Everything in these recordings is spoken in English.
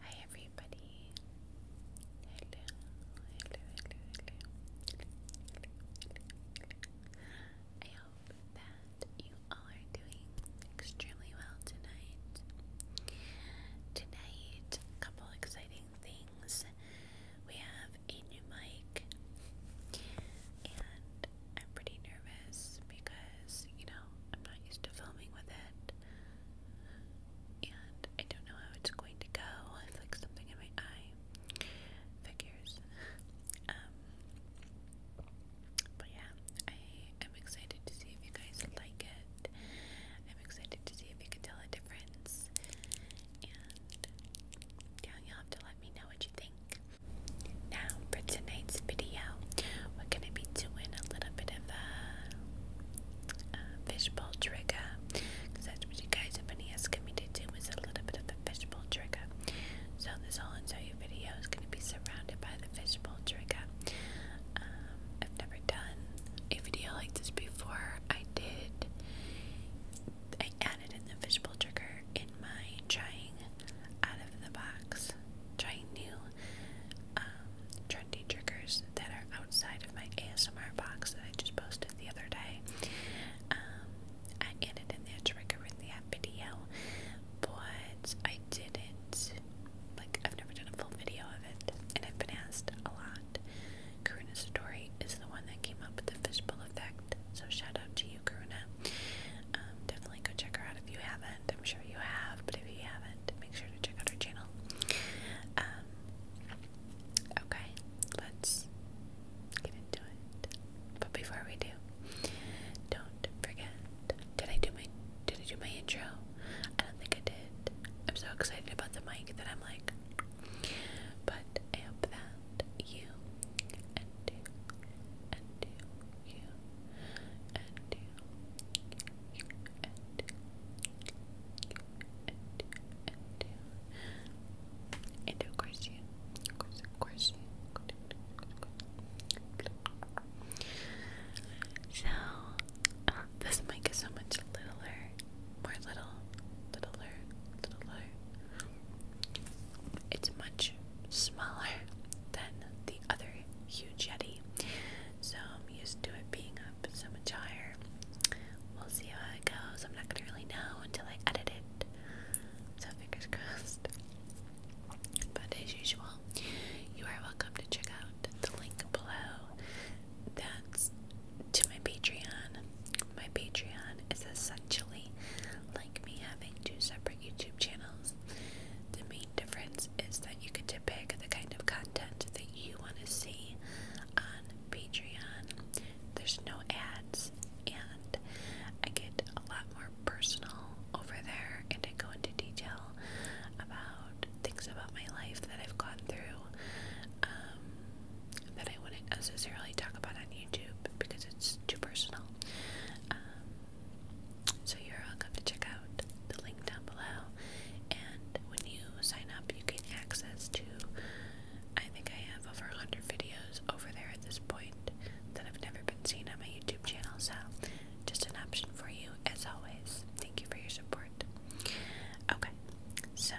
Hi everybody. I hope that you all are doing extremely well tonight. Tonight, a couple exciting things. We have a new mic and I'm pretty nervous because, you know, I'm not used to filming with it. And I don't know how it's going to go. It's like something in my eye. Figures. Um, but yeah, I am excited to see if you guys like it. I'm excited to see if you can tell a difference. And yeah, you'll have to let me know what you think. Now for tonight's video, we're gonna be doing a little bit of a, a fishbowl trigger. Cause that's what you guys have been asking me to do is a little bit of a fishbowl trigger. So this whole entire video is gonna be surrounded by the fishbowl trigger. Um, I've never done a video like this before. I did. I added in the fishbowl trigger would trying out of the box, trying new um, trendy triggers that are outside of my ASMR box that I just posted the other day. Um, I ended in that trigger in that video, but I didn't, like, I've never done a full video of it, and I've been asked a lot. Karuna Satori is the one that came up with the fishbowl effect, so shout out to you, Karuna. Um, definitely go check her out if you haven't. I'm sure you have, but if you haven't, make sure to check out her channel. Um, okay, let's get into it. But before we do, don't forget. Did I do my Did I do my intro? I don't think I did. I'm so excited about the mic that I'm like. But I that and you, and you, and you, you, and you, you, and you, you, and you, and you, and of course you, of course, of So, uh, this mic is so much littler, more little, littler, littler. It's much smaller than the other huge Yeti, so I'm used to it being up so much higher. We'll see how it goes. I'm not gonna really know until I edit it, so fingers crossed. But as usual, you are welcome to check out the link below. That's to my Patreon. My Patreon is essentially like me having two separate YouTube channels. The main difference is that you get to pick the kind of content that you want to see on Patreon. There's no ads, and I get a lot more personal over there, and I go into detail about things about my life that I've gone through um, that I wouldn't necessarily talk about on YouTube because it's too personal. Um, so you're all welcome to check out the link down below. And when you sign up, you get access to. I think I have over 100 videos over there at this point that have never been seen on my YouTube channel. So, just an option for you as always. Thank you for your support. Okay, so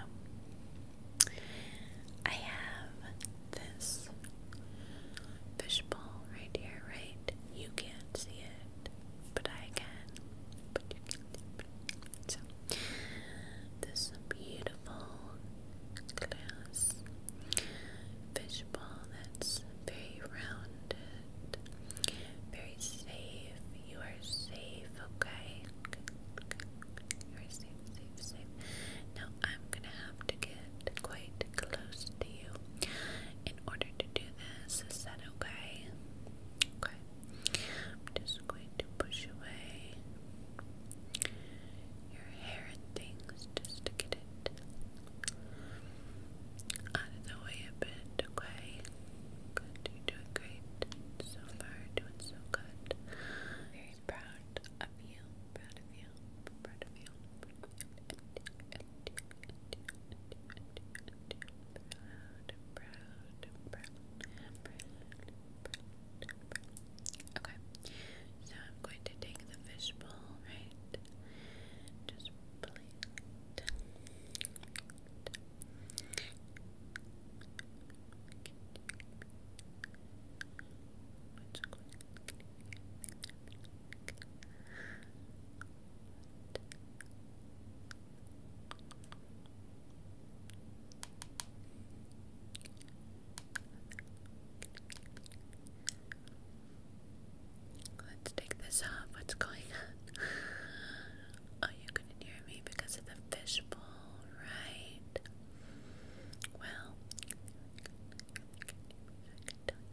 I have this fishbowl right here, right? You can't see it, but I can. But you can. So, this beautiful glass fishbowl that's very rounded, very safe. You are safe, okay. You are safe, safe, safe. Now, I'm gonna have to get quite close to you. In order to do this, is that okay? Okay. just going to push away your hair and things just to get it out of the way a bit, okay? Good, you're doing great so far, doing so good. Very proud of you, proud of you, proud of you, proud of you, Okay, so I'm going to take the fishbowl, right? Just plate. Let's take this off. What's going on? Oh, you couldn't hear me because of the fishbowl, right? Well,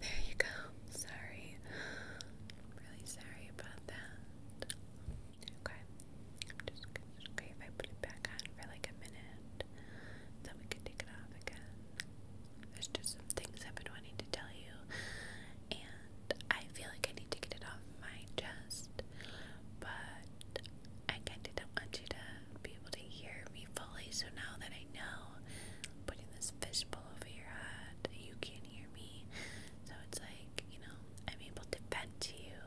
There you go. Sorry. really sorry about that. Okay. I'm just okay if I put it back on for like a minute. Then we can take it off again. There's just some things I've been wanting to tell you. And I feel like I need to get it off my chest. But I kind of don't want you to be able to hear me fully, so now that I know I'm putting this fishbowl over your head, you can hear me. So it's like, you know, I'm able to vent to you,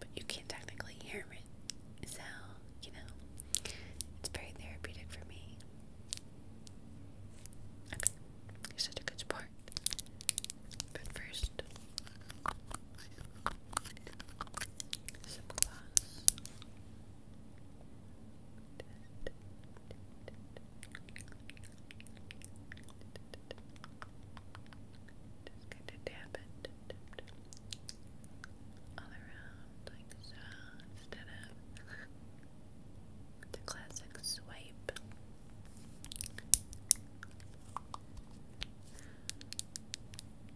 but you can't technically hear me. So, you know, it's very therapeutic for me. Okay, you're such a good sport. But first, some glass. Just going to it all around like so the classic swipe.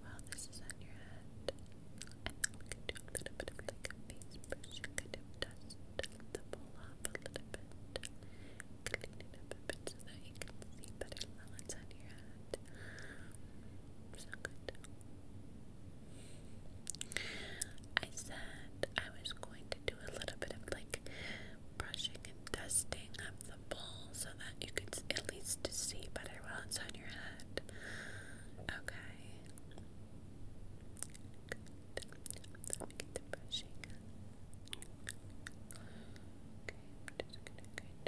while this is on your head, and then we can do a little bit of like face brush, kind of the bowl off a little bit, clean it up so that you can see better while it's on your head. So good. I said I was going to do a little bit of like brushing and dusting of the bowl so that you could at least see better what's on your head. Okay. Let me get the brushing. Okay, I'm just gonna kind of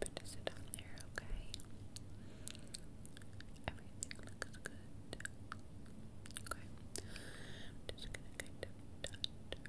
put this on there, okay? Everything looks good. Okay. I'm just gonna kind of dot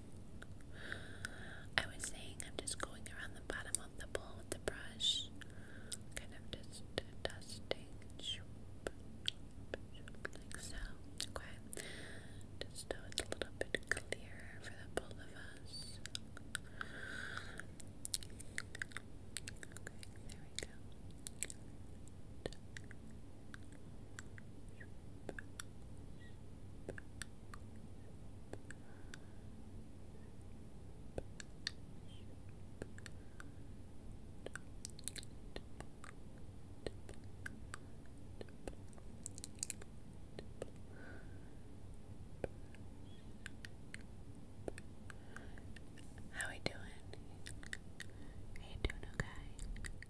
I was saying I'm just going around the bottom of the bowl with the brush, kind of just dusting, like so. Okay, just so it's a little bit clearer for the both of us. there we go. How are you doing? Are you doing okay?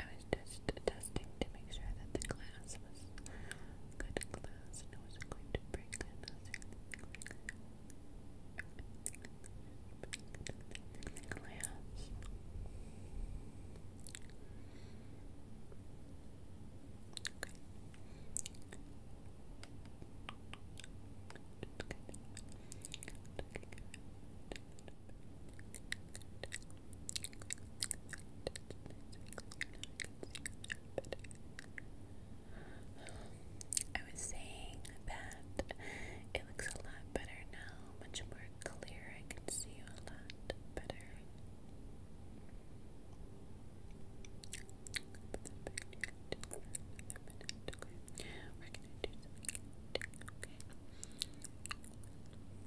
I was just testing to make sure that the class was good class and I wasn't going to break another class. I was saying that it looks a lot better now, much more clear. I can see you a lot better. We're gonna do something. Okay.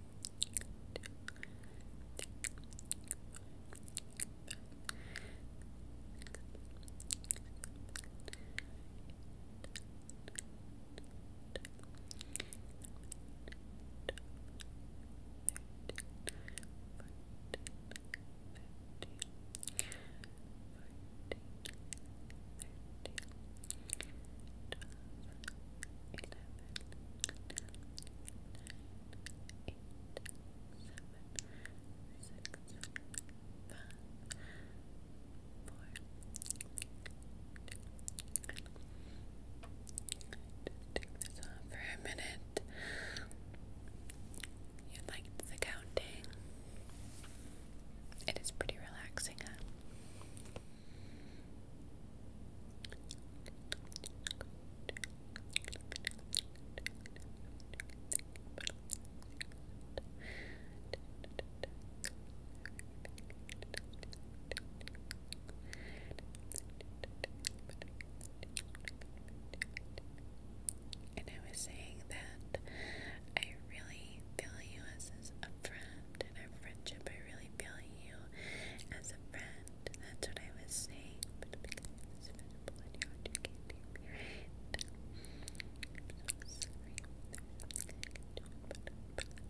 Fourteen, thirteen, twelve, for a minute. You liked the counting. It is pretty relaxing, and I was saying that I really feel you as a friend in our friendship. I really feel you as a friend that's what I was saying.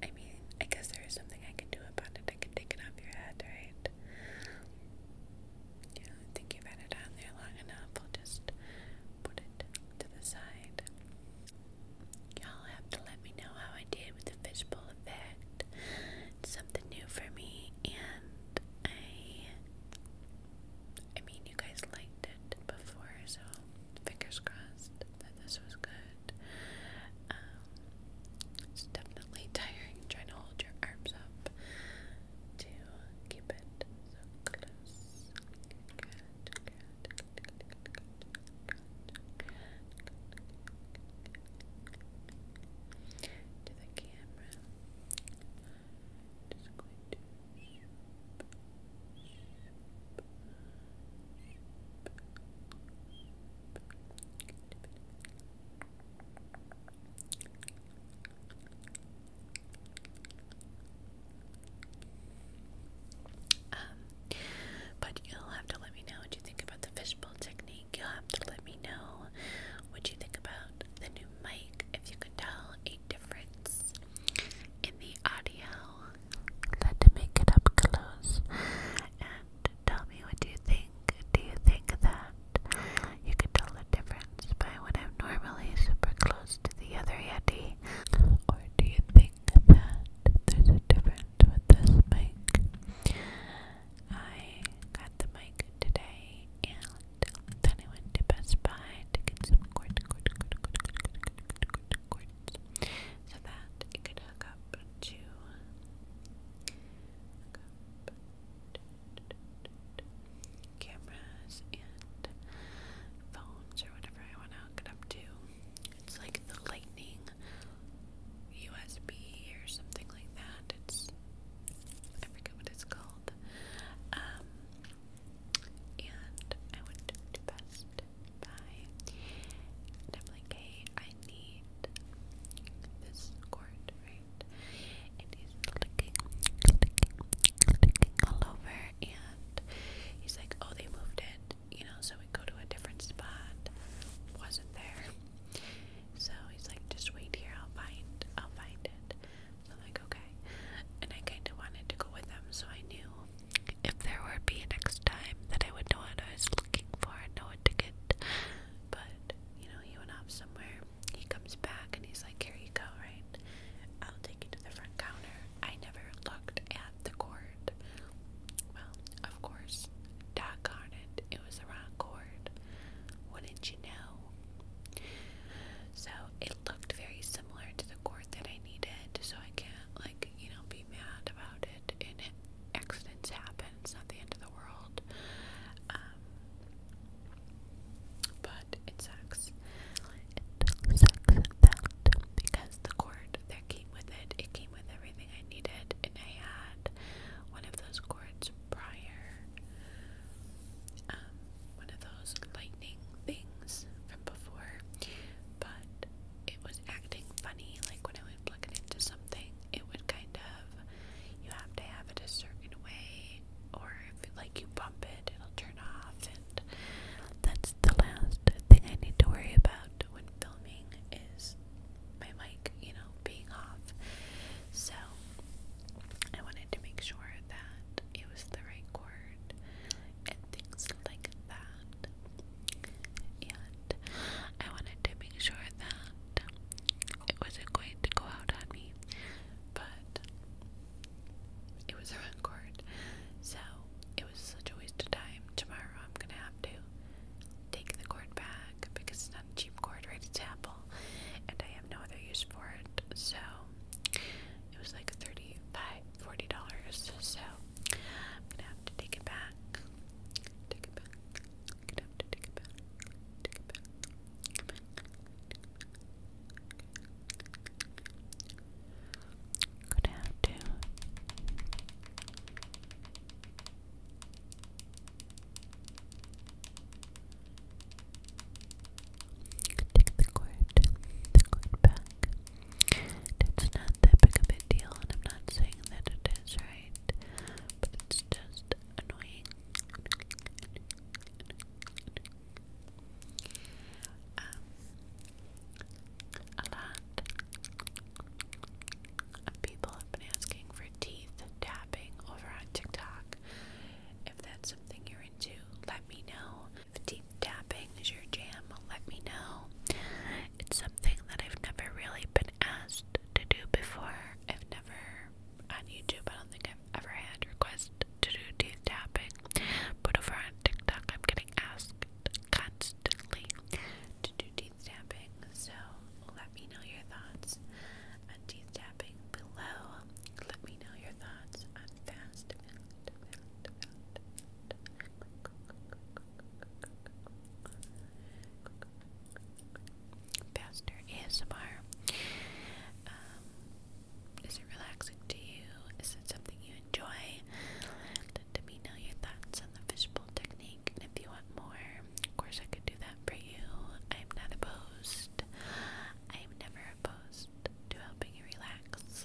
i mean, I guess there is something I can do about it. I can take it off your head, right? Yeah, think you've had it on there long enough. I'll just put it to the side. Y'all have to let me know how I did with the fishbowl something new for me, and I, I mean, you guys liked it before, so fingers crossed that this was good. Um, it's definitely tiring trying to hold your arms up to keep it so close. good to um, but you'll have to let me know what you think about the fishbowl technique. You'll have to let me know what you think about the new mic, if you can tell a difference in the audio. Let to make up close and tell me what you think. Do you think that you could tell the difference by when I'm normally super close to the other Yeti? Or do you think that there's a difference with this mic? I got the mic today and then I went to Best Buy to get some cords, cords, cords, cords, cords, cords, cords, cords so that it could hook up to hook up cameras and phones or whatever I want to hook it up to it's like the lightning USB or something like that. It's I forget what it's called. Um, and I would do best by definitely K. I need this cord, right? It is clicking, clicking, clicking all over, and he's like, "Oh, they moved it," you know. So would go to a different spot. Wasn't there. So he's like, just wait here, I'll find I'll find it. So I'm like, okay. And I kinda wanted to go with him so I knew if there would be next time that I would know what I was looking for and know what to get. But, you know, he went off somewhere. He comes back and he's like, Here you go, right? I'll take you to the front counter. I never looked at the cord. Well, of course, doggone it, it was the wrong chord. Wouldn't you know? So it looked very similar to the cord that I needed, so I can't, like, you know, be mad about it. And accidents happen, it's not the end of the world. Um, but it sucks. It sucks that because the chord that came with it, it came with it everything I needed, and I had one of those cords prior, um, one of those lightning things from before, but it was acting funny. Like when I would plug it into something, it would kind of you have to have it a certain way, or like you bump it, it'll turn off, and that's the last thing I need to worry about when filming is my mic, you know, being off. So I wanted to make sure that it was the right chord and things like that. And I wanted to make sure that it wasn't going to go out on me, but it was the wrong chord. So it was such a waste of time. Tomorrow I'm gonna have to take the cord back because it's not a cheap cord, right? It's Apple, and I have no other use for it. So it was like thirty by forty dollars. So I'm gonna have to take it back. Take it back. Take it back. Gonna have to Take the cord, the cord back. It's not that big of a deal, and I'm not saying that it is right, but it's just annoying. Um, people have been asking for teeth tapping over on TikTok. If that's something you're into, let me know. If teeth tapping is your jam, let me know. It's something that I've never really been asked to do before. I've never, on YouTube, I don't think I've ever had requests to do teeth tapping, but over on TikTok, I'm getting asked constantly to do teeth tapping, so let me know your thoughts on teeth tapping below. Let me know your thoughts on fast Faster ASMR. Um, is it relaxing to you? Is it something you enjoy? Let me know your thoughts on the fishbowl technique, and if you want more, of course, I could do that for you. I'm not opposed. I'm never opposed to helping you relax.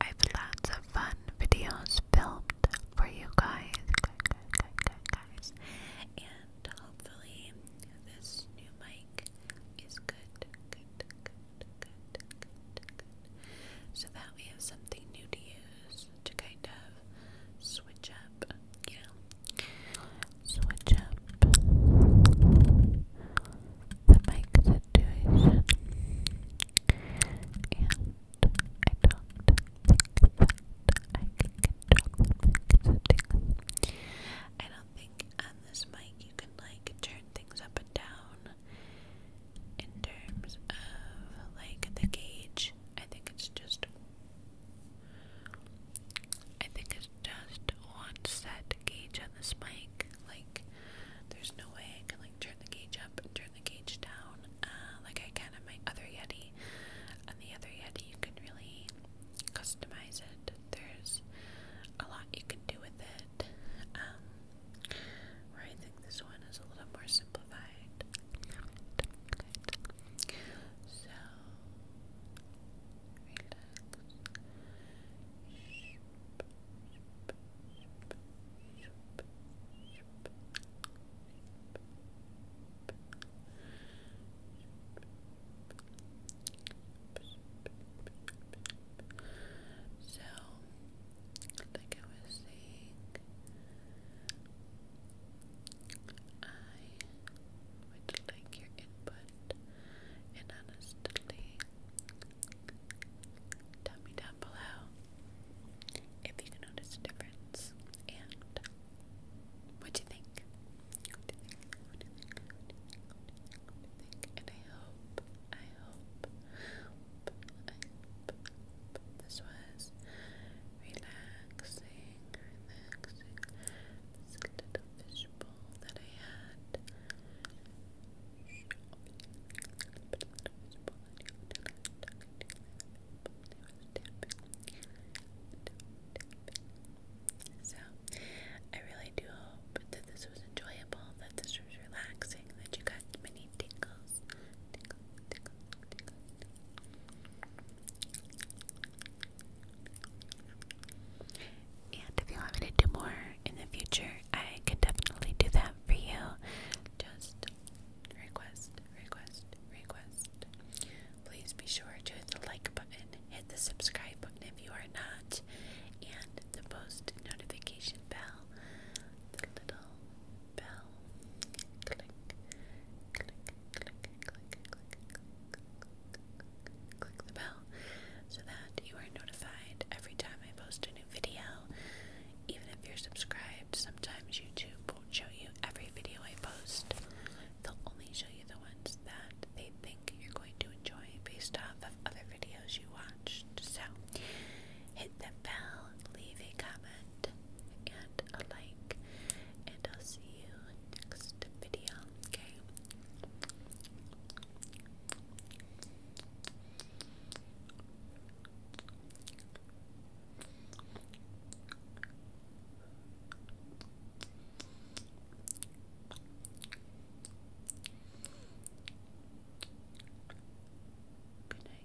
I've lots of fun videos filmed for you guys, and hopefully this new mic is good, good, good, good, good, good, so that we have something new to use to kind of switch up, you switch up the mic situation. And I don't think that I can control I don't think on this mic you can like turn things up and down in terms of like the gauge. I think it's just I think it's just one set gauge on this mic. Like, there's no way I can like turn the gauge up and turn the gauge down, uh, like I can on my other Yeti. On the other Yeti, you can really customize it. There's a lot you can do with it. Um, where I think this one is a little more simplified template. So relax. So, I was saying, I would like your input and honestly tell me down below if you can notice a difference and what do you think? And I hope, I hope, I hope this was relaxing relaxing. So, I really do hope that this was enjoyable, that this was relaxing, that you got many tingles, and if you want me to do more in the future, I can definitely do that for you. Just request, request, request. Please be sure to hit the like button, hit the subscribe button if you are not, and the post notification bell. The bell. Click, click, click, and click and click click, click, click the bell so that you are notified every time I post a new video. Even if you're subscribed, sometimes YouTube won't show you every video I post. They'll only show you the ones that they think you're going to enjoy based off of other videos you watched. So hit the bell, leave a comment, and a like, and I'll see you next video, okay? Good night.